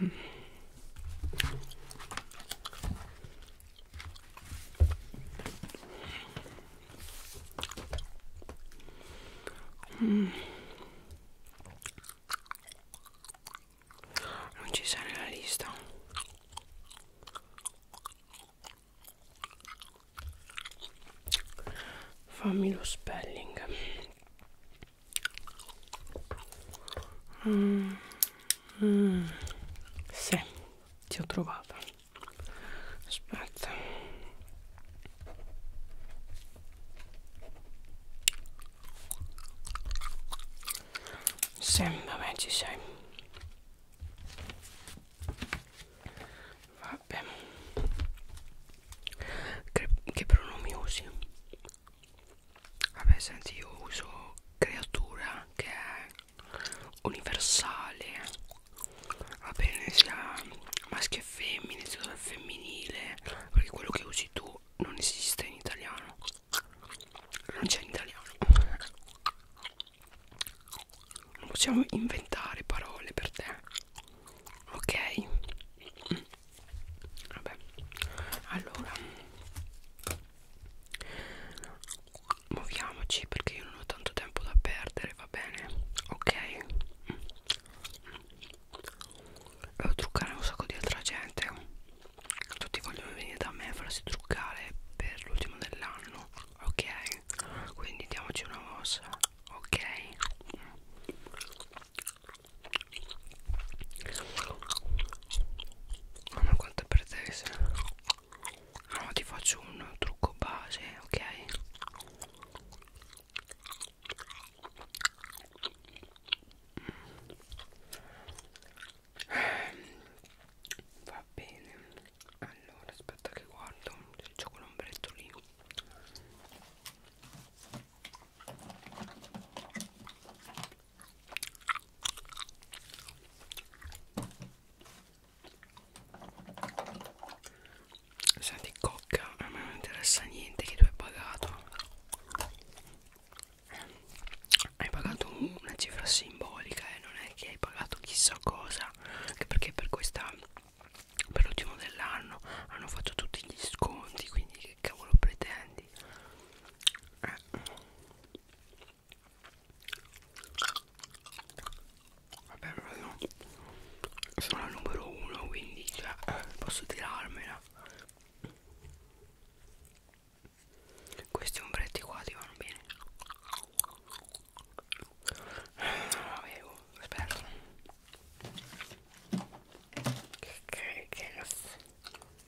Mm. Mm. Non ci sei nella lista. Fammi lo spelling. Mm, mm, sì, ti ho trovata. Aspetta. Sì, vabbè, ci sei. Vabbè. Che, che pronomi usi? Vabbè senti io uso creatura che è universale Va bene sia maschio e femmine, sia dal femminile Perché quello che usi tu non esiste in italiano Non c'è in italiano Non possiamo inventare parole per te Ok vabbè allora muoviamoci perché io non ho tanto tempo da perdere va bene ok devo truccare un sacco di altra gente tutti vogliono venire da me a farsi truccare per l'ultimo dell'anno ok quindi diamoci una mossa ok ma allora, quanto per te ah, No ti faccio un trucco base ok mm. Va bene Allora aspetta che guardo Se c'è quell'ombretto lì Senti cocca, a me non interessa niente che tu hai pagato Hai pagato una cifra simbolica e eh? non è che hai pagato chissà cosa Anche perché per questa per l'ultimo dell'anno hanno fatto tutti gli sconti quindi che cavolo pretendi eh. vabbè però sono la numero uno quindi cioè, posso tirarmela questi ombretti qua ti vanno bene non ah, avevo aspetta che che che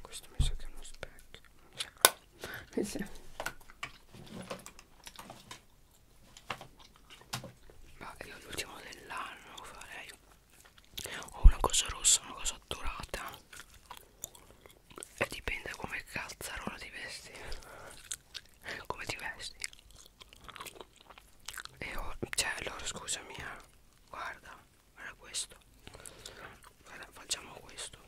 questo mi sa che è uno specchio mi sa ma io l'ultimo dell'anno farei o una cosa rossa una cosa dorata e dipende come cazzarola ti vesti come ti vesti e ora, cioè allora scusami eh, guarda guarda questo guarda facciamo questo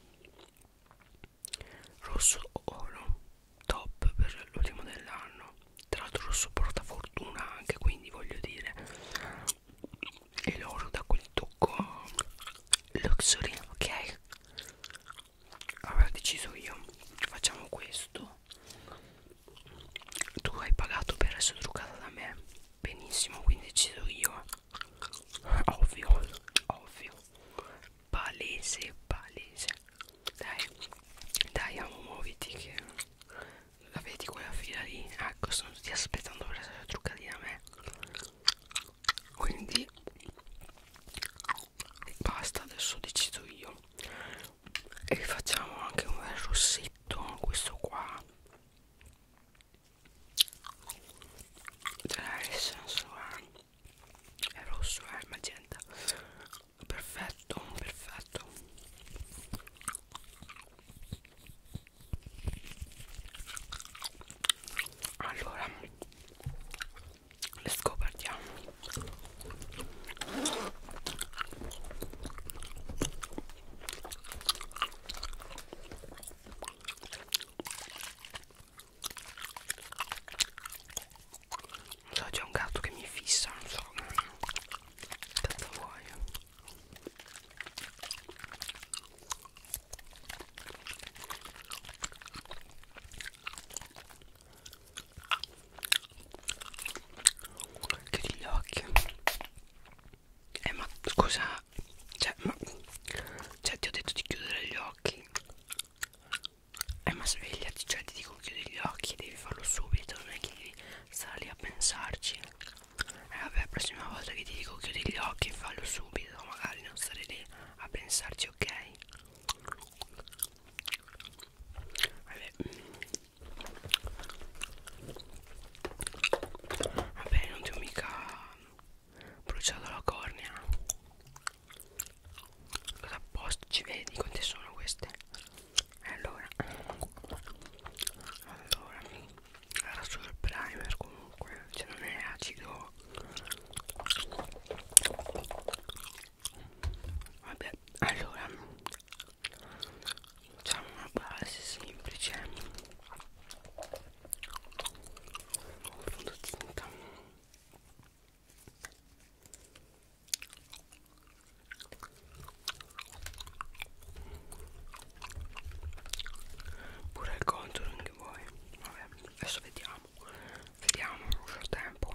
rosso oro top per l'ultimo dell'anno tra l'altro rosso porta fortuna anche quindi voglio dire e l'oro da quel tocco luxury ok avrà deciso io facciamo questo tu hai pagato per essere truccata da me benissimo quindi decido io ovvio ovvio palese palese dai dai amo muoviti che la vedi quella fila lì ecco sono tutti aspettando per essere truccati da me quindi basta adesso decido io e facciamo anche un bel rossetto questo qua tra la S è rosso è eh, magenta perfetto perfetto allora le scopertiamo So, c'è un gatto che mi fissa, non so. Tanto vuoi. Chiudi gli occhi. Eh ma scusa Cioè ma Cioè ti ho detto di chiudere gli occhi Eh ma svegliati Cioè ti dico chiudi gli occhi Devi farlo subito Non è che devi stare lì a pensarci Eh vabbè la prossima volta che ti dico chiudi gli occhi Fallo subito Magari non stare lì a pensarci ok Vabbè mm. Vabbè, non ti ho mica bruciato la cornea. Cosa apposta ci vedi? Quante sono queste? Allora, allora, era solo il primer comunque, cioè non è acido. Vabbè, allora c'è una base semplice un fondotinta pure il contouring che vuoi vabbè adesso vediamo vediamo nel tempo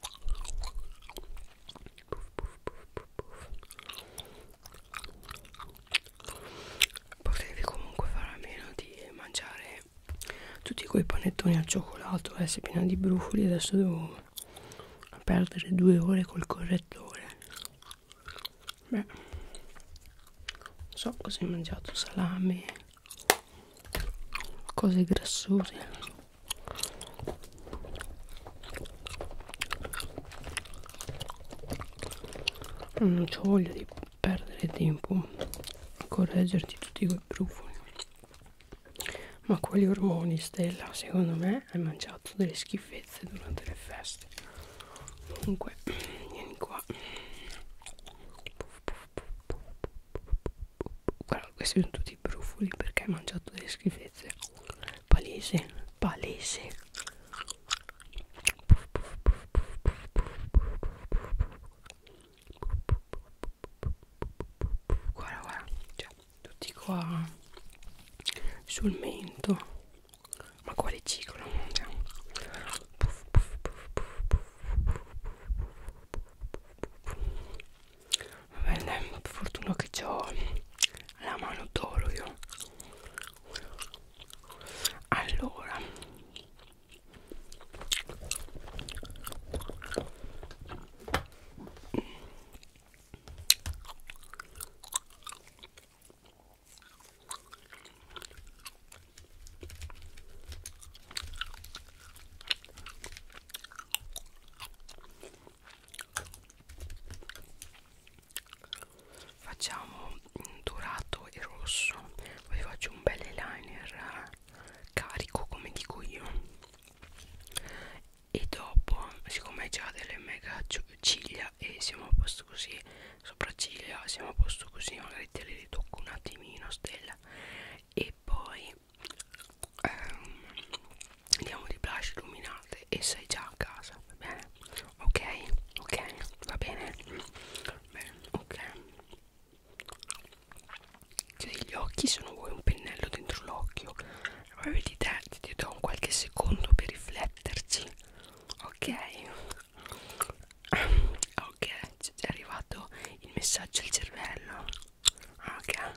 puff, puff, puff, puff. Potevi comunque fare a meno di mangiare tutti quei panettoni al cioccolato, eh, sei piena di brufoli adesso devo perdere due ore col correttore. Beh, so cosa hai mangiato, salame, cose grassose. Mm, non ho voglia di perdere tempo a correggerti tutti quei brufoli ma quali ormoni Stella secondo me hai mangiato delle schifezze durante le feste comunque vieni qua guarda questi sono tutti di brufoli perché hai mangiato delle schifezze palese palese guarda guarda cioè tutti qua sul mento ma quale ciclo cioè va bene fortuna che ho la mano d'oro io allora facciamo dorato e rosso poi faccio un bel eyeliner carico come dico io e dopo siccome hai già delle mega ciglia e siamo a posto così sopracciglia siamo a posto così magari te le ritocco un attimino stella e poi ehm, andiamo di blush illuminate e sei già a casa va bene ok ok va bene bene ok cioè gli occhi sono voi un pennello dentro l'occhio poi vedi te ti do un qualche secondo per rifletterci ok ok è arrivato il messaggio al cervello ok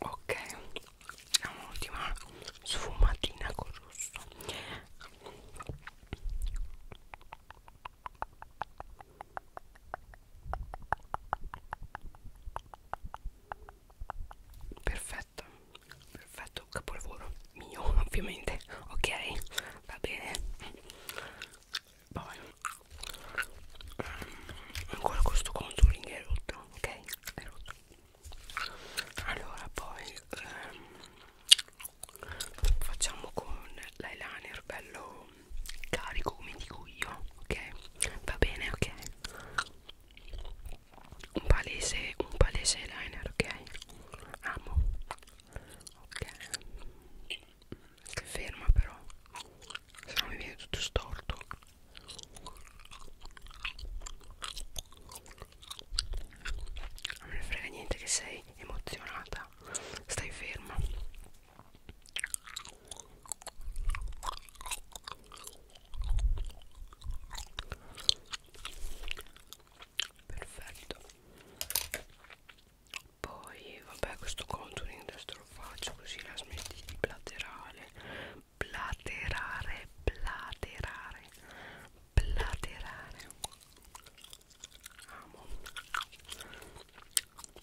Ok, un'ultima sfumatina con rosso. Ok, perfetto perfetto capolavoro mio ovviamente ok va bene poi ehm, ancora questo contouring è rotto ok è rotto allora poi ehm, facciamo con l'eyeliner bello carico come dico io ok va bene ok un palese un palese liner ok amo ok che ferma però se no mi viene tutto storto non me ne frega niente che sei emozionata stai ferma perfetto poi vabbè questo contouring adesso lo faccio così la smetti di platerare platerare platerare platerare amo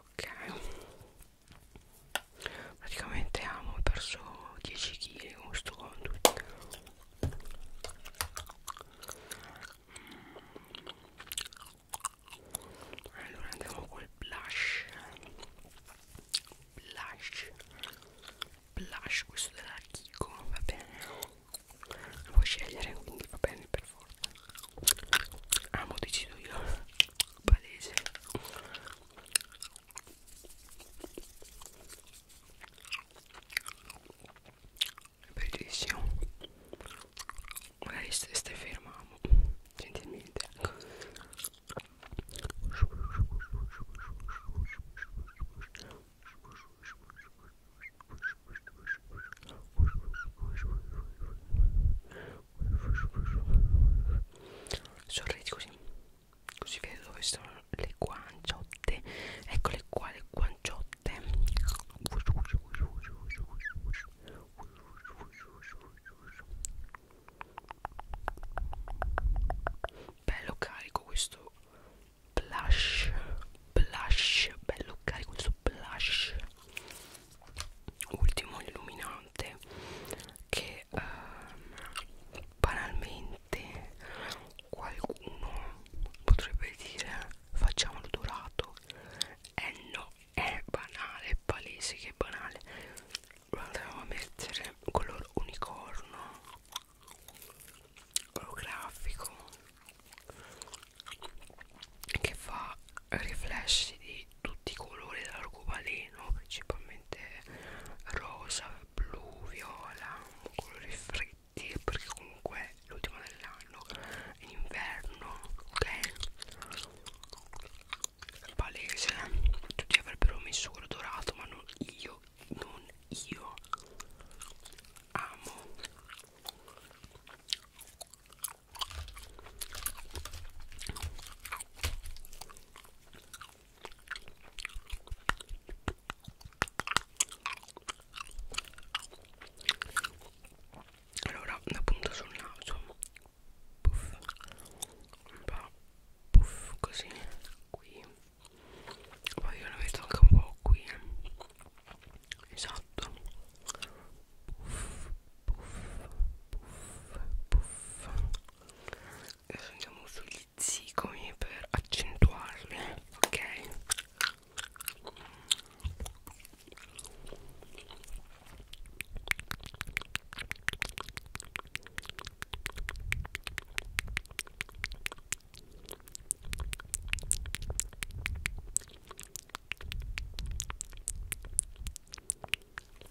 ok praticamente amo ho perso 10 kg con sto conto allora andiamo col blush blush blush questo della Kiko va bene lo puoi scegliere quindi va bene per forza amo ah, decido io palese bellissimo magari stai fermando gentilmente ecco. Sorridi così, così vedo dove sono le guanciotte. Eccole qua le guanciotte. Bello carico questo blush blush bello carico questo blush ultimo illuminante che ehm, banalmente qualcuno potrebbe dire facciamolo dorato eh no è banale è palese che è banale guarda a mettere color unicorno olografico che fa riflessi di tutti i colori dell'arcobaleno principalmente rosa, blu, viola, colori freddi perché comunque è l'ultimo dell'anno in inverno ok palese tutti avrebbero messo quello dorato ma non io non io amo allora una punta sul naso puff un po' puff così qui poi io l'ho visto anche un po' qui eh. esatto puff puff puff puff e andiamo sugli zigomi per accentuarli ok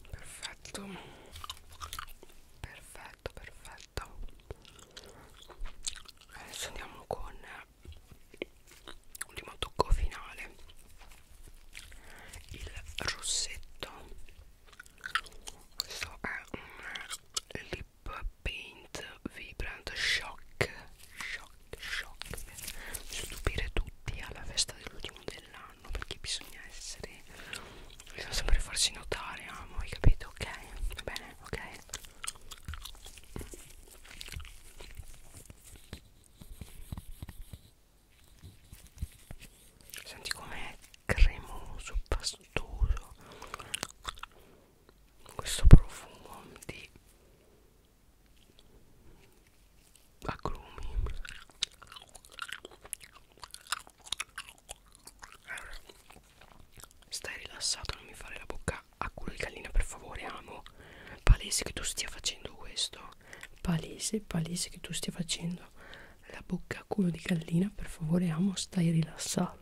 Perfetto, perfetto, perfetto. Adesso andiamo con l'ultimo tocco finale, il rossetto. Questo è un Lip Paint Vibrant Shock Shock, shock per stupire tutti alla festa dell'ultimo dell'anno perché bisogna essere bisogna sempre farsi notare amo hai capito ok va bene ok senti com'è cremoso pastoso questo profumo di agrumi stai rilassato non mi fare la bocca a culo di gallina per favore amo palese che tu stia facendo questo palese palese che tu stia facendo la bocca a culo di gallina per favore amo stai rilassata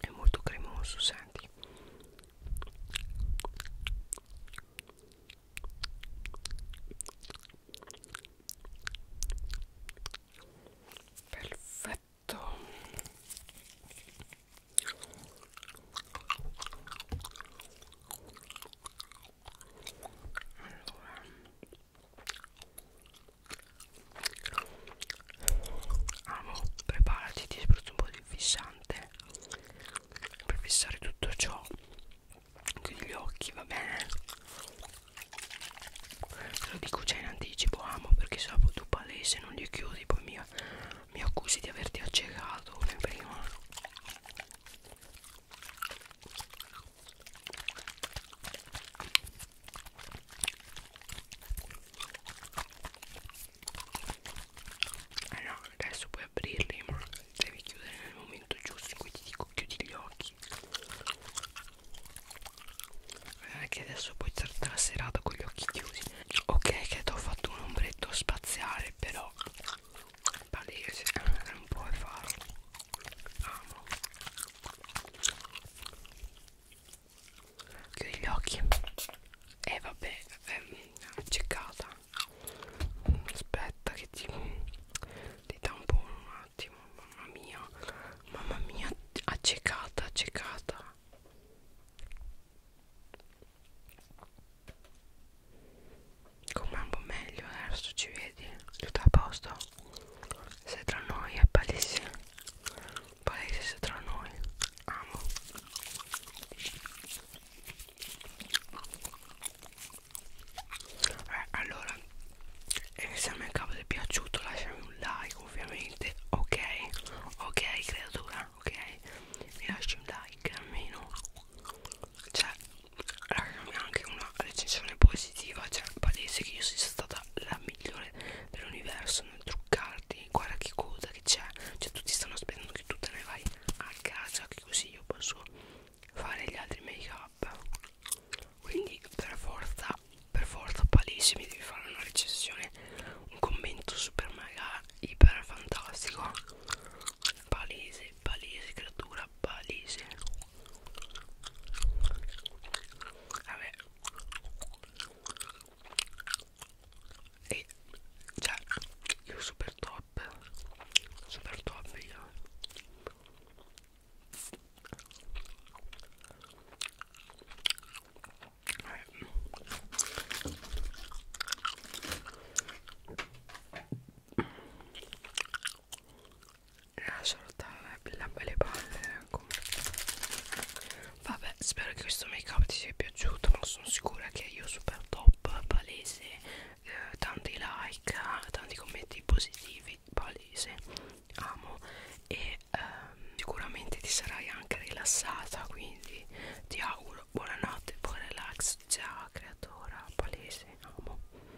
è molto cremoso senti perfetto allora Amo, preparati, ti spruzzo un po' di fissante per fissare tutto ciò anche gli occhi, va bene? Te lo dico già in anticipo, amo, perché se tu palese non li chiudi poi mi, mi accusi di averti accecato come prima eh no, adesso puoi aprirli, ma devi chiudere nel momento giusto in cui ti dico chiudi gli occhi. Non è che adesso puoi starti la serata con gli occhi chiusi. Ok, che ti ho fatto un ombretto spaziale, però palese non puoi farlo amo chiudi gli occhi e eh, vabbè ehm, ceccata aspetta che ti ti tampono un attimo mamma mia mamma mia accecata accecata Com'è un po' meglio, eh, adesso ci vedi, tutto a posto. Sei tra noi, è palese. Palese sei tra noi. Amo. Eh, allora, se a me il capo ti è piaciuto lasciami un like ovviamente, ok? Ok creatura, ok? Mi lasci un like almeno. Cioè, Ragazzi, anche una recensione positiva, cioè palese che io sia stata la migliore dell'universo nel truccarti. Guarda che coda che c'è, cioè tutti stanno aspettando che tu te ne vai a casa, che così io posso fare gli altri make up. Quindi per forza, per forza palese mi devi fare una recensione, un commento super mega iper fantastico palese è palese creatura palese vabbè e cioè io super top super top io vabbè lascialo stare le palle come... vabbè spero che questo make up ti sia piaciuto ma sono sicura che io super top palese eh, tanti like tanti commenti positivi palese amo e ehm, sicuramente ti sarai anche rilassata quindi ti auguro buonanotte buon relax ciao creatora palese amo